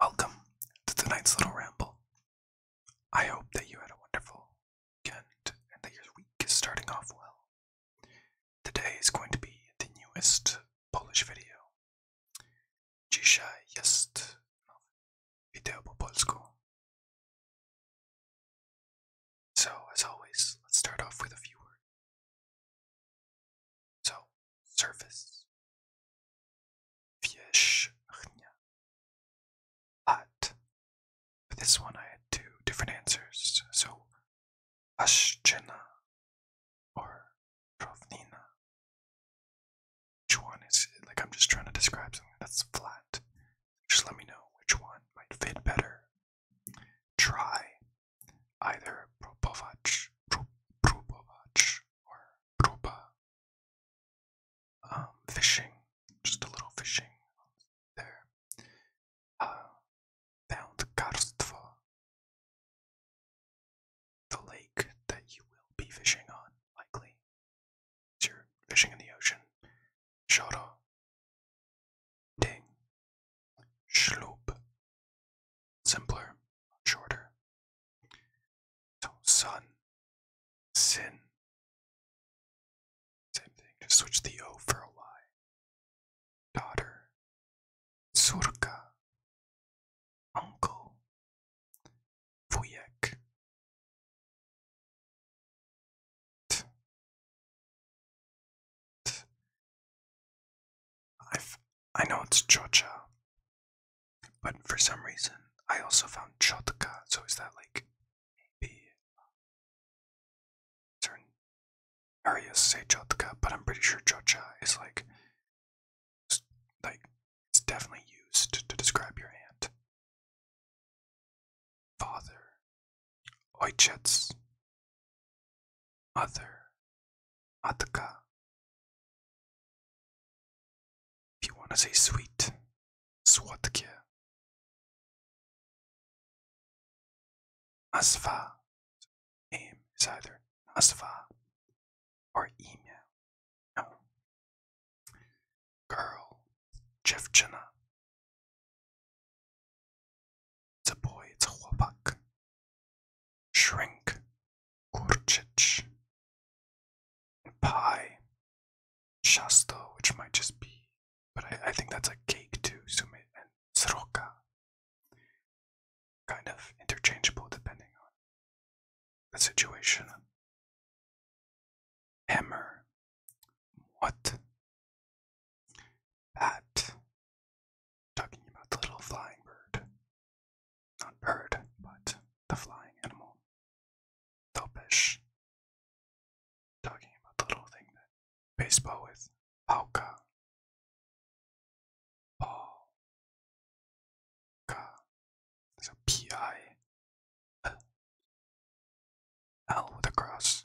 Welcome to tonight's little ramble. I hope that you had a wonderful weekend and that your week is starting off well. Today is going to be the newest Polish video. Dzisiaj jest nowe video po So, as always, let's start off with a few words. So, surface. Wierzchnia. But for this one, I had two different answers. So, Ashchina or Trovnina. Which one is like I'm just trying to describe something that's flat. Just let me know which one might fit better. Try either Probovac, Probovac, or Proba. Um, fishing, just a little fishing there. Uh, found Karstvo, the lake that you will be fishing on, likely. You're fishing in the ocean. Shoro, Ding, Schloop. Simpler, shorter. So sun, sin. Same thing, just switch the O for a Y. Daughter, surka. Uncle, vujek i I know it's Chocha, but for some reason I also found Chotka. So is that like maybe uh, certain areas say Chotka, but I'm pretty sure Chocha is like like it's definitely used to describe your aunt. Father, Oichets, Mother, Matka. If you want to say sweet, Swatke. Asva. Name is either Asva or email. Girl, Jevchina. It's a boy, it's a chłopak. Shrink, kurczyć. Pie, chasto, which might just be, but I, think that's a cake too, sume and sroka. Kind of interchangeable depending on the situation. Hammer, what? Bat. Talking about the little flying bird. Not bird, but the flying animal. Topish. Talking about the little thing that baseball with. Pauka. Pauka. with a cross.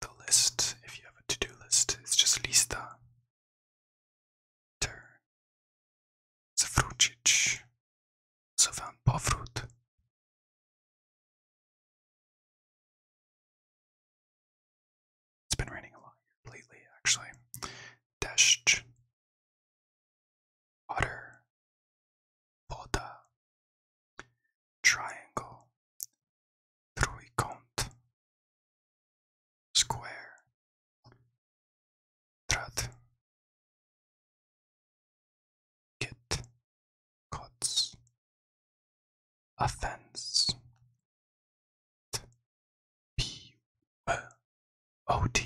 the list if you have a to-do list. It's just lista. Ter. Zwrócić. Zwam powrót. It's been raining a lot lately, actually. Deszcz. Water. Woda. Triangle. trójkąt, square, trat, kit, kots, offense, t, p, b, od,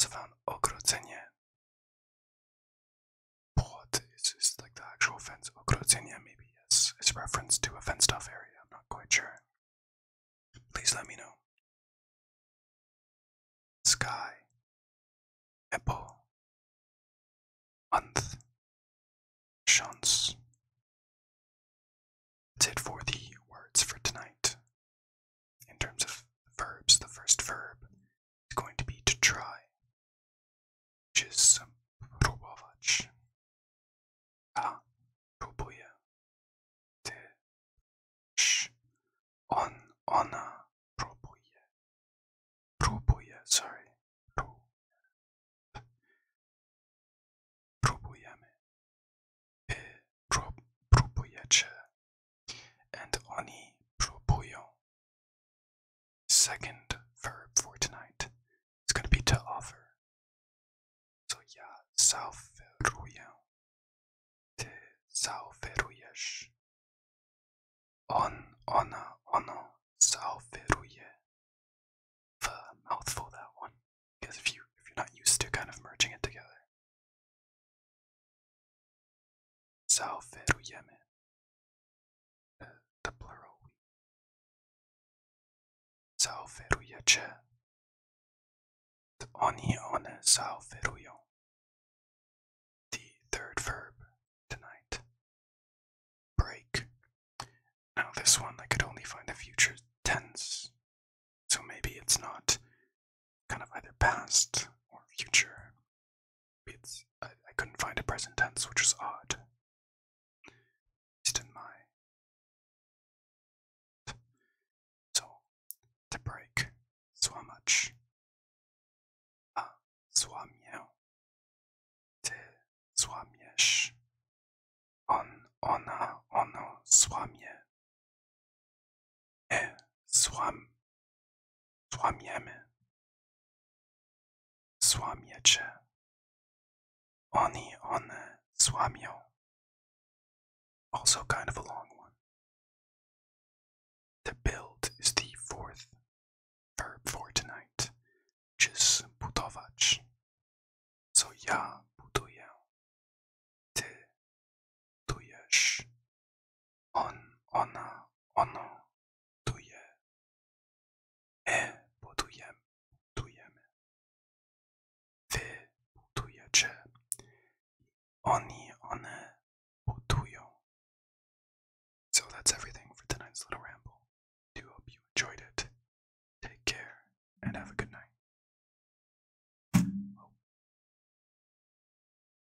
zwan ogrodzenie Plot is just like the actual fence. Okrotsinia, oh, maybe, yes. It's reference to a fenced off area. I'm not quite sure. Please let me know. Sky. Apple. Month. Chance. That's it for the words for tonight. In terms of verbs, the first verb it's going to be to try, which is próbować. Ja próbuję. Ty też. On, ona próbuje. Próbuje, sorry. Próbuje. Próbujemy. Wy prób, próbujecie. And oni próbują. Second verb for tonight is going to be to offer. So, yeah, zaoferuję. Ty zaoferujesz. On, ona, ono zaoferuje. The mouthful, that one. Because if, you, if you're not used to kind of merging it together. Zaoferujemy. The, uh, the plural we. Zaoferujecie. Oni, one zaoferują. The third verb tonight. Break. Now, this one I could only find the future tense. So maybe it's not kind of either past or future it's I, couldn't find a present tense, which was odd. Just my so to break swamach a uh, swamię ty swamiesz on ona uh, ono uh, swamie e eh, swam Złamiemy. Złamiecie. Oni, one złamią. Also kind of a long one. To build is the fourth verb for tonight, which is budować. So ja buduję. Ty budujesz. On, ona, ono, tuje. My budujemy, budujemy. Wy budujecie. Oni, one budują. So that's everything for tonight's little ramble. Do hope you enjoyed it. Take care and have a good night.